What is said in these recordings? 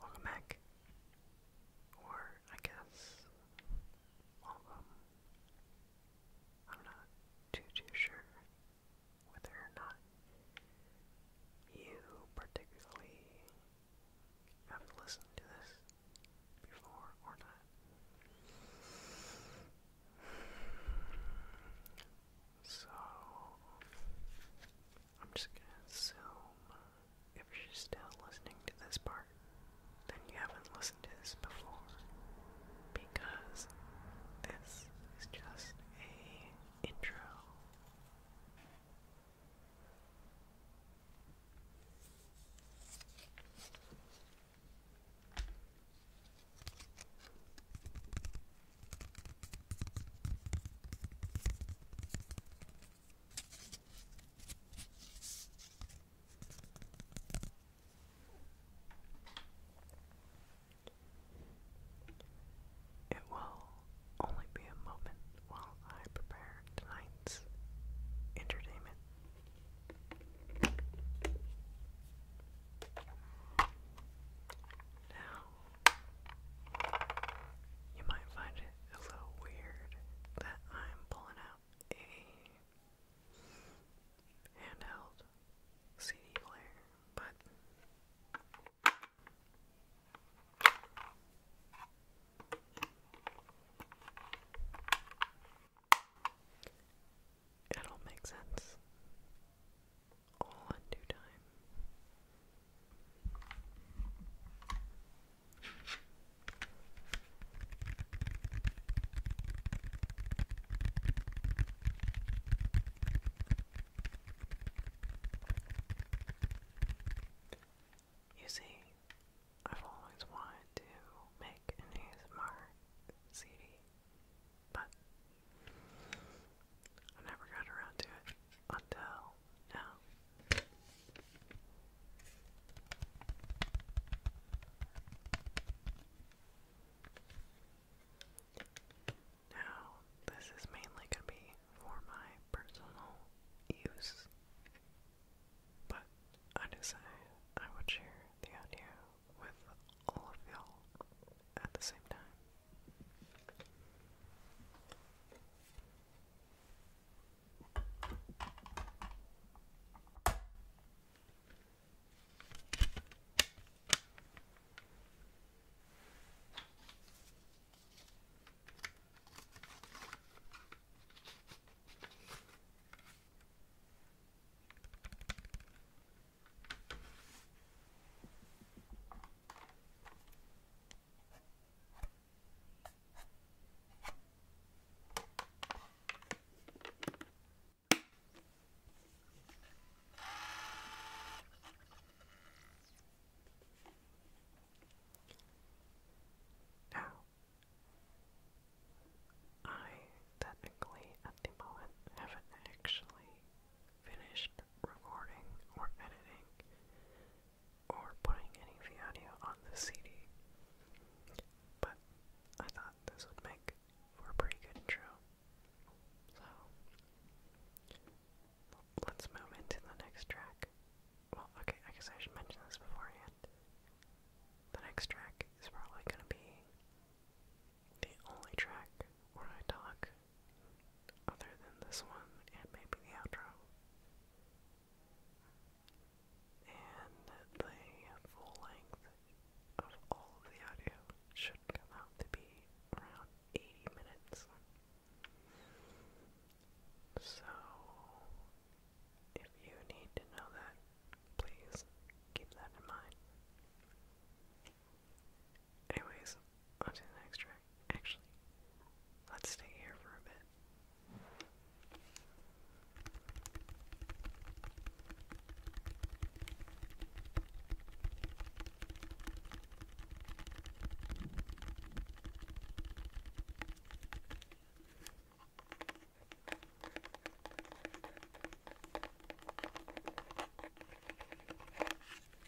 Welcome back. Or, I guess, welcome. I'm not too, too sure whether or not you particularly have listened to this before or not. So, I'm just gonna assume if you're still listening to this part, then you haven't listened to this before. Because this is just a intro. It will only be a moment while I prepare tonight's entertainment. Now, you might find it a little weird that I'm pulling out a handheld CD player, but it all makes sense all in time. You see, I've always wanted to make an ASMR CD, but I never got around to it until now. Now, this is mainly going to be for my personal use, but I decided I would share the idea with all of you at the same time. Now, I technically at the moment haven't actually finished recording or editing or putting any of on the CD. But I thought this would make for a pretty good intro. So let's move into the next track. Well, okay, I guess I should mention this beforehand. The next track is probably going to be the only track where I talk other than this one and maybe the outro. And the full length of all of the audio should come out to be around 80 minutes. So, if you need to know that, please keep that in mind. Anyways, on the next track. Actually, let's stay here for a bit.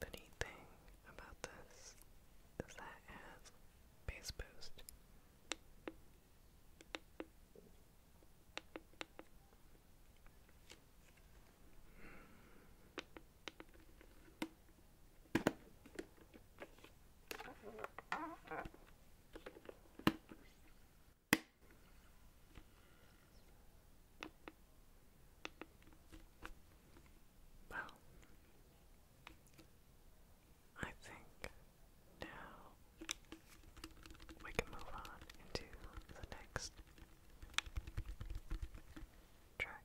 The neat thing about this is that it has base boost. Well, I think now we can move on into the next track.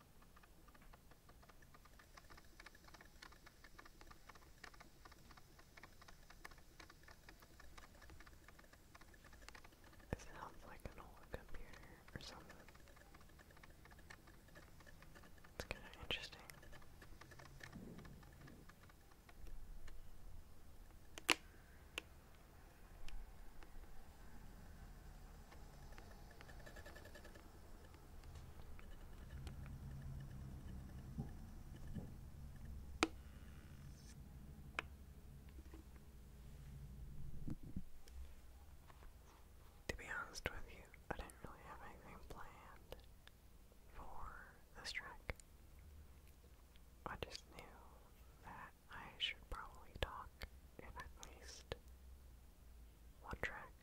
It sounds like an old computer or something. It's kind of interesting. To be honest with you, I didn't really have anything planned for this track. I just knew that I should probably talk in at least one track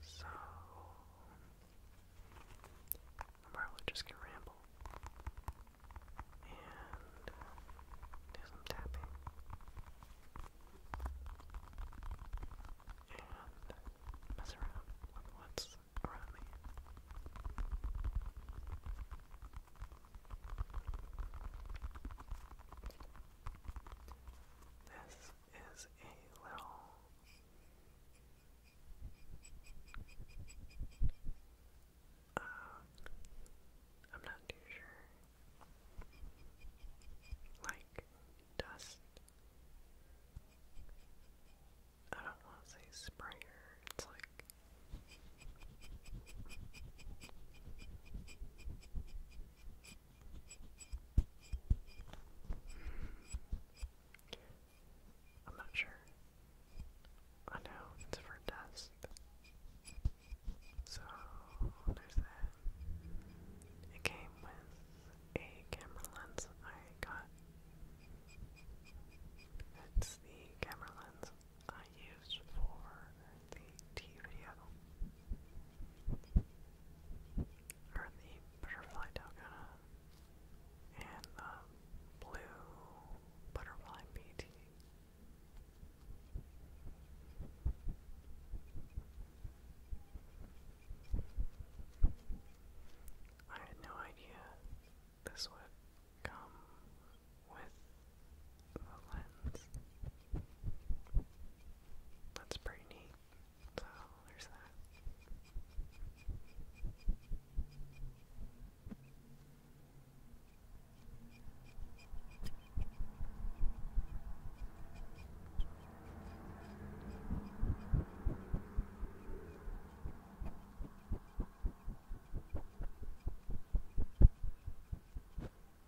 so I'm probably just gonna ramble and do tapping and mess around with what's around me. This is a little um, I'm not too sure. Like dust. I don't want to say sprayer. It's like I'm not sure. I know it's for dust. So there's that. It came with a camera lens I got. It's the camera lens I used for the tea video, or the butterfly dalgona, and the blue butterfly BT. I had no idea this would come with the lens. That's pretty neat. So there's that.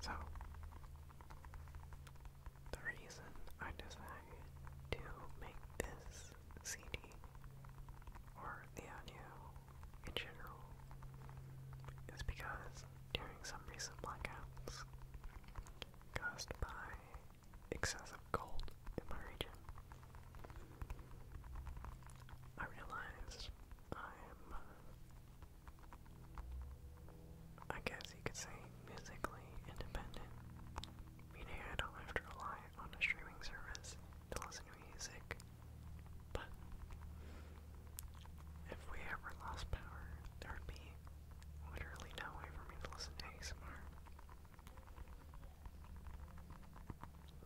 So, the reason I decided to make this this CD or the audio in general is because during some recent blackouts caused by excessive cold in my region, I realized I'm, I guess you could say, musically independent, meaning I don't have to rely on a streaming service to listen to music. But if we ever lost power, there would be literally no way for me to listen to ASMR.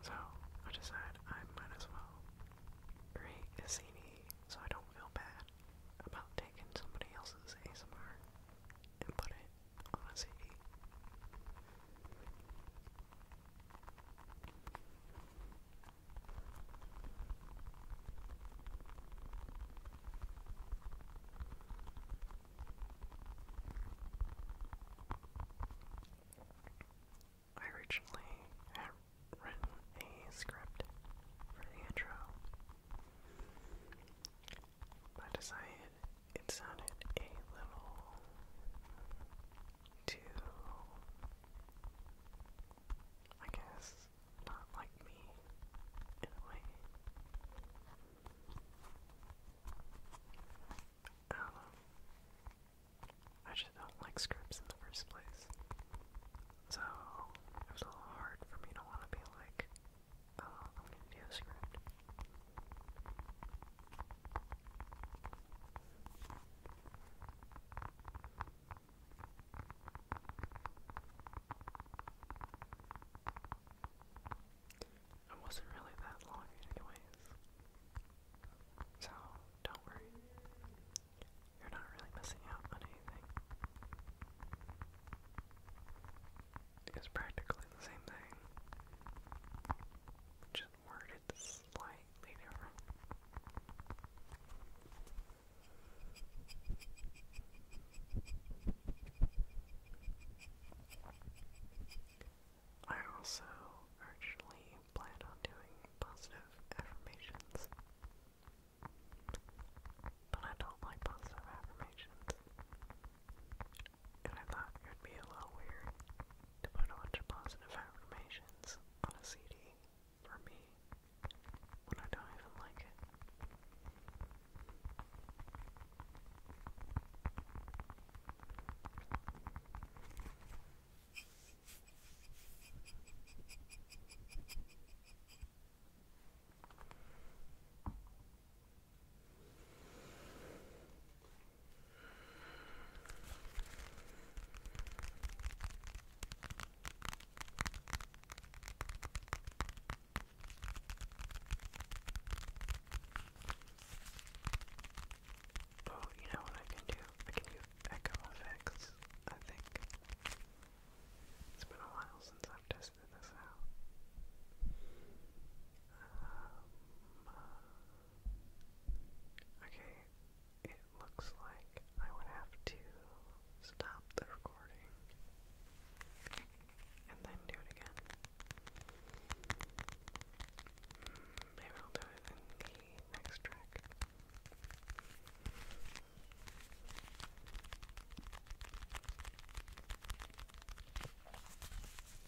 So I decided I might as well create a CD so I don't feel bad about taking somebody else's ASMR and put Oh, I want to say eight. a script for the intro, but I decided it sounded a little too, I guess, not like me in a way. I um, I just don't like scripts in the first place. So it was a little hard for me to want to be like, oh, I'm gonna do a script. It wasn't really that long, anyways. So, don't worry. You're not really missing out on anything. It's practically the same thing. Just worded slightly different. I also originally planned on doing positive affirmations, but I don't like positive affirmations and I thought it would be a little weird to put a bunch of positive affirmations on a CD for me when I don't even like it. Oh, you know what I can do? I can do echo effects, I think. It's been a while since I've tested this out. Um, Okay, it looks like I would have to stop the recording and then do it again. Hmm, maybe I'll do it in the next track.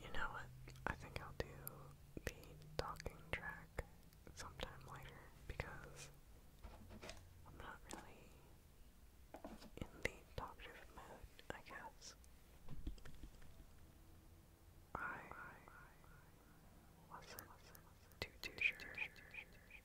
You know what? I think I'll do the talking track sometime later because I'm not really in the talk mode, I guess. I wasn't too too sure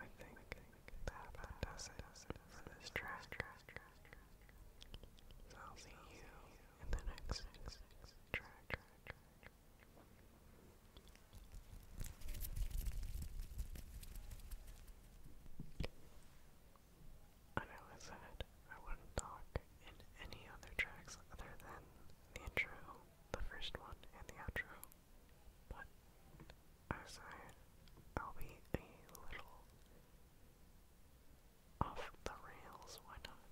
I think that does it for this track. So I'll see you in the next track. I know it's sad. I wouldn't talk in any other tracks other than the intro, the first one, and the outro. But as I, I'll be a little off the rails, why not?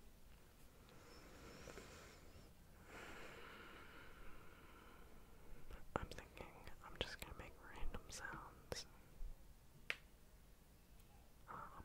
I'm thinking I'm just gonna make random sounds. Um,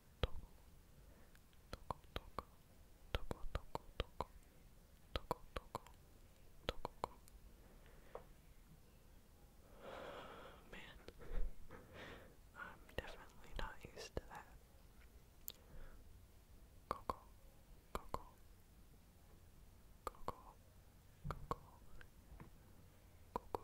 toggle, toggle, toggle, toggle, toggle, toggle, toggle, toggle, toggle, Man, I'm definitely not used to that. Coco, coco, coco, coco, coco, coco, coco,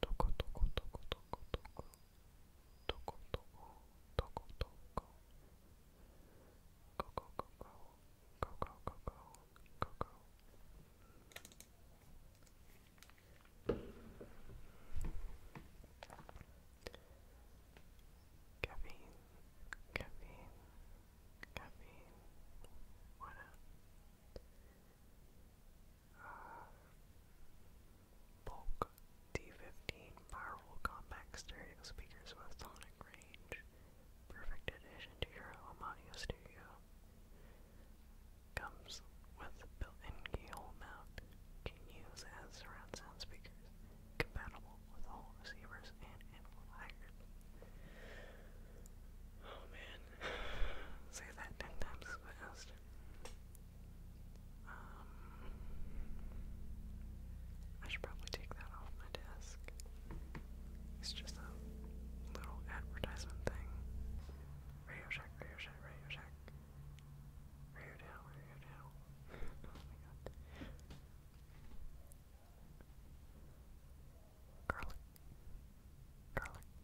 Toko toko toko toko toko toko toko toko toko go go go go go go go go go go Caffeine, caffeine, caffeine, what up? Bulk D15 Firewall Compact Stereo Speakers with Sonic Range. Perfect addition to your home audio studio. Comes with built-in keyhole mount. Can use as surround sound speakers. Compatible with all receivers and amplifiers. Oh man, Say that ten times fast. Um, I should probably take that off my desk. It's just a little advertisement thing. Radio Shack, Radio Shack, Radio Shack. Radio Down, Radio Down. oh my god. Garlic. Garlic.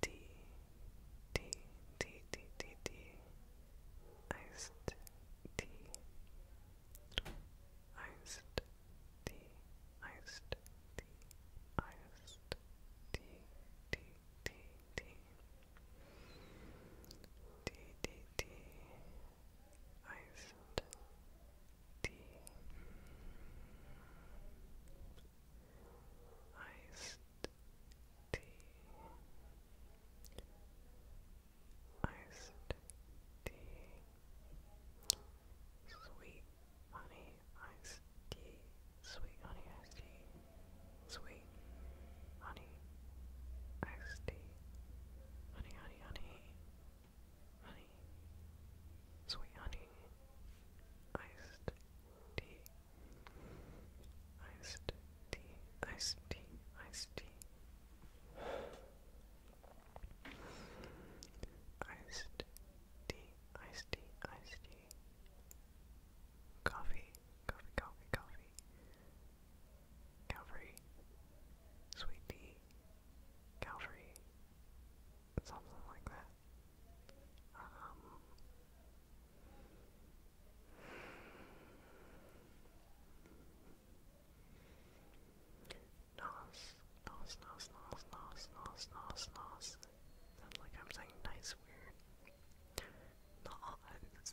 D D D D D D iced tea iced tea iced tea iced tea D D D D D D iced tea iced tea, iced tea, sweet honey iced tea, sweet honey iced tea, sweet honey iced tea, honey honey honey, honey, sweet honey iced tea, iced tea, iced tea, iced tea, iced tea, iced tea, iced tea, coffee, coffee, coffee, coffee, Calvary, sweet tea, Calvary something like that. Um, nos, nos, nos, nos, nos, nos, nos, Sounds like I'm saying nice weird. Nice, Nice. Nice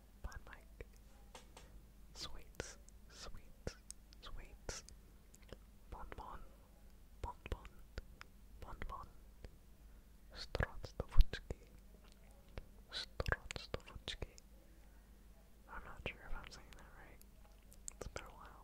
Bon Mike. Sweets, sweets, sweets. Bonbon, bonbon, bonbon. Strotstovutski, Strotstovutski. I'm not sure if I'm saying that right. It's been a while.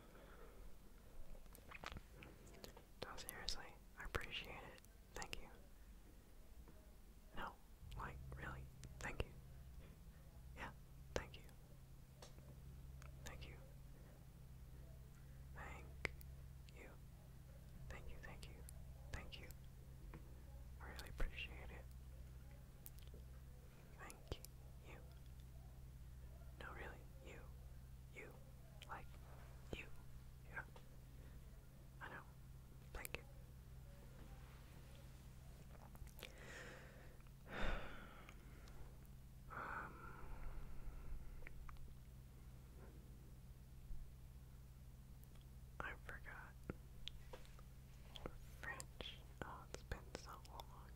No, seriously, I appreciate it. Thank you. No, like, really, thank you. Yeah, thank you. Thank you. Thank you. Thank you, thank you, thank you. really appreciate it you. No, really, you. You. Like you. Yeah. I know. Thank you. Um, I forgot French. Oh, it's been so long.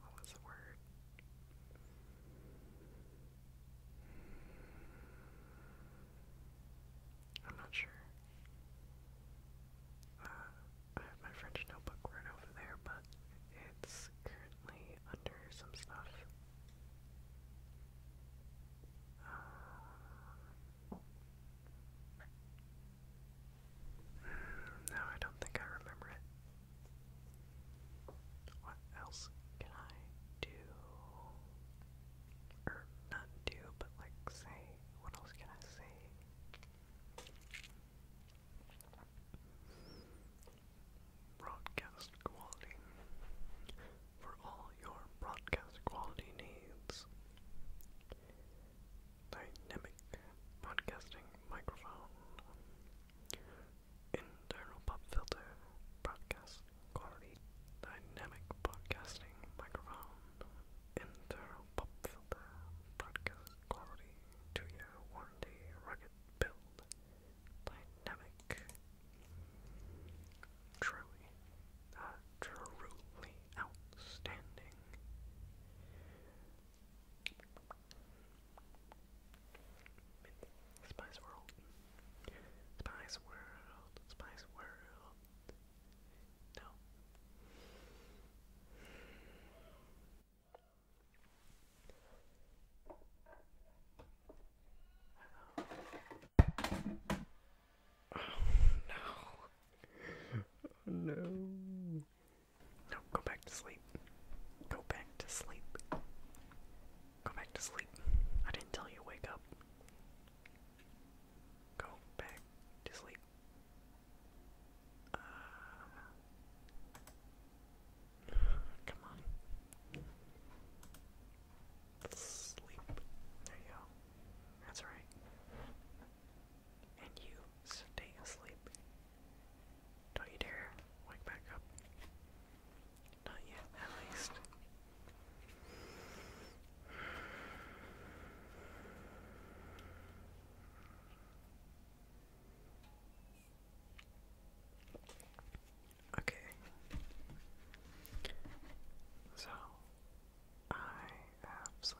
What was the word? I'm not sure. Uh, I have my French notebook right over there, but it's currently under some stuff. Uh, no, I don't think I remember it. What else can I do? Or er, not do, but like say, what else can I say? Broadcast quality. For all your broadcast quality needs. Dynamic broadcasting microphone. Internal pop filter, broadcast quality, dynamic broadcasting microphone, internal pop filter, broadcast quality, two year warranty, rugged build, dynamic. Truly, truly outstanding. Spice World. Spice World. Spice World. No. Oh. no. Oh no. No, go back to sleep. Go back to sleep. Go back to sleep. I didn't tell you wake up. Go back to sleep. Uh, come on. Sleep. There you go. That's right. And you stay asleep. Don't you dare wake back up. Not yet, at least. Okay. So, I have some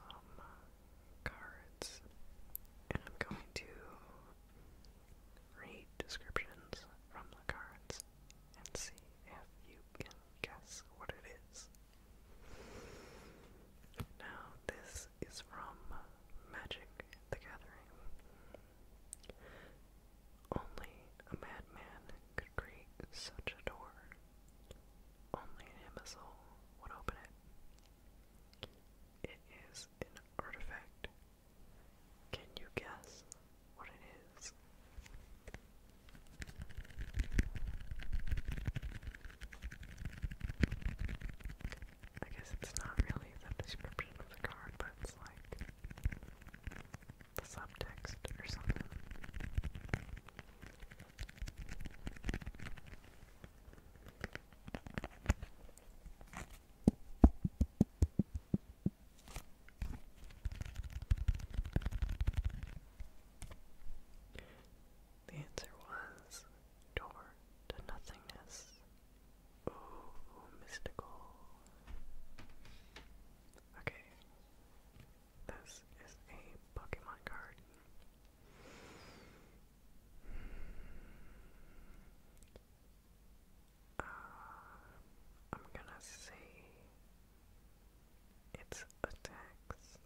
cards, and I'm going to Read descriptions from the cards and see if you can guess what it is. Now, this is from Magic the Gathering. Only a madman could create such a door. Only an imbecile would open it. It is an artifact. Can you guess what it is? I guess it's not really the description of the card, but it's like the subtext or something. The answer was door to nothingness. Ooh, mystical. Okay. This is a Pokemon card. Uh, I'm gonna say it's attacks,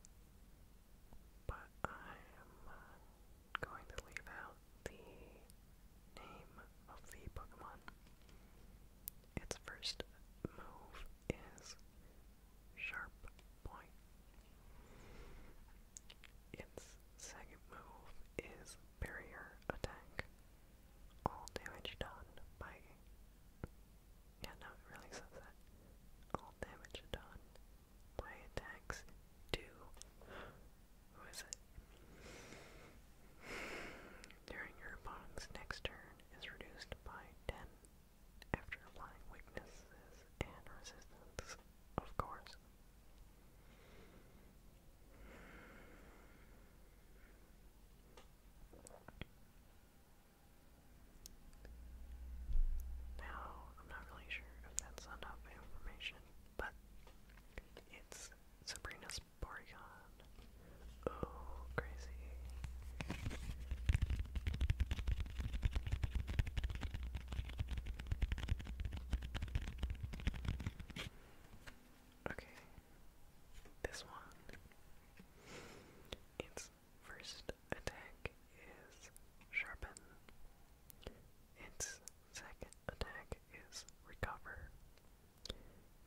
but I'm going to leave out the name of the Pokemon. Its first move is Sharp Point. Its second move is barrier attack. All damage done by yeah, no, it really says that. All damage done by attacks do who is it? During your opponent's next turn is reduced by ten after applying weaknesses and resistance of course. Now, I'm not really sure if that's enough information, but it's Sabrina's Porygon. Oh, crazy. Okay, this one. Its first attack is Sharpen. Its second attack is Recover.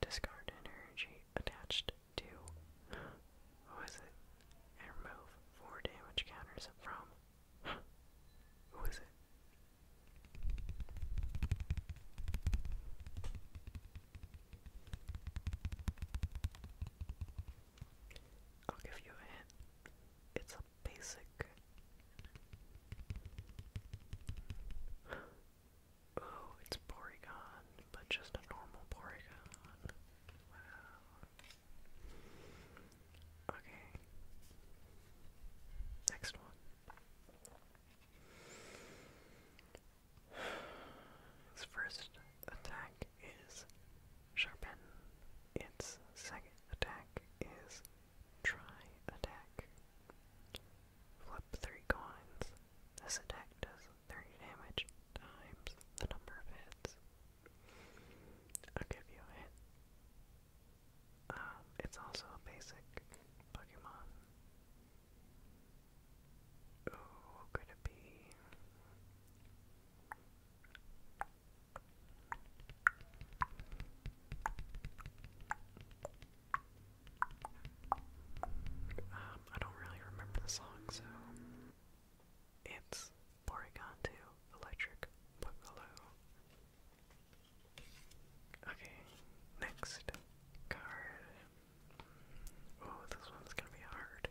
Discard energy attached to. Who is it? And remove four damage counters from. Who is it? I'll give you a hint. It's a basic. Oh, it's Porygon, but just a normal Porygon. Wow. Okay. Next one. Its first attack is Sharpen. Its second attack is Try Attack. Flip three coins. This attack does 30 damage times the number of hits. I'll give you a hit. Um, it's also a basic Pokemon. Ooh, could it be? Um, I don't really remember the song, so it's Porygon 2 Electric Boogaloo. Okay, next card. Oh, this one's gonna be hard.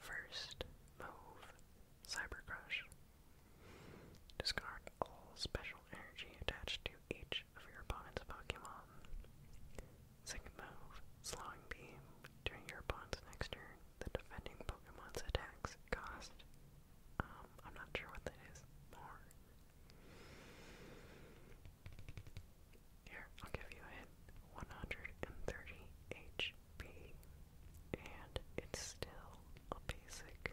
First, move, Cyber Crush. Discard all special energy attached to each of your opponent's Pokemon. Second move, Slowing Beam. During your opponent's next turn, the defending Pokemon's attacks cost um, I'm not sure what that is. Here, I'll give you a 130 HP. And it's still a basic.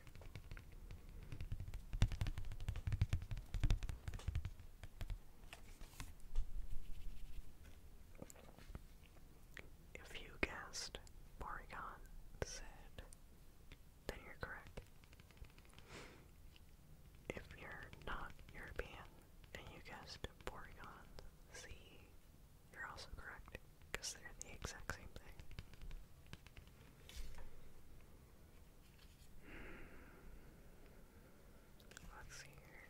If you guessed Porygon said then you're correct. If you're not European and you guessed Porygon Z, you're also correct because they're the exact same thing. Let's see here.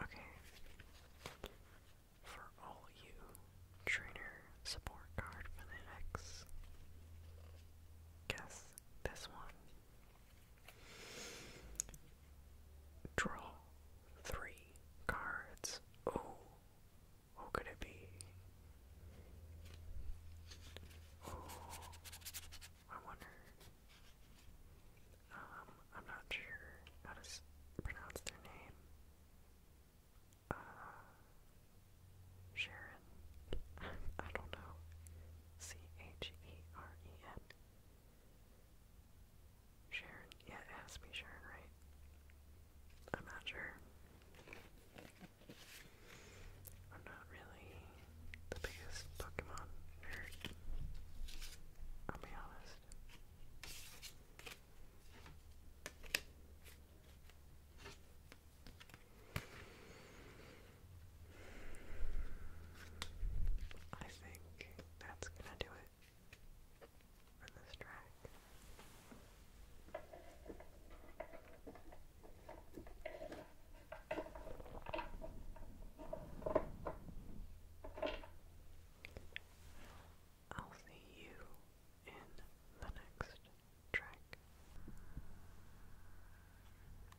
Okay. For all you trainer support card for the next guess this one Draw three cards. Oh, who could it be? Oh, I wonder. Um, I'm not sure how to pronounce their name. Uh, Sharon. I don't know. C H E R E N. Sharon, yeah, it has to be Sharon, right? I'm not sure. I'm not really the biggest Pokemon nerd. I'll be honest. I think that's gonna do it for this track. I'll see you in the next track.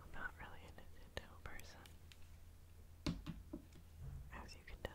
I'm not really a Nintendo person, as you can tell.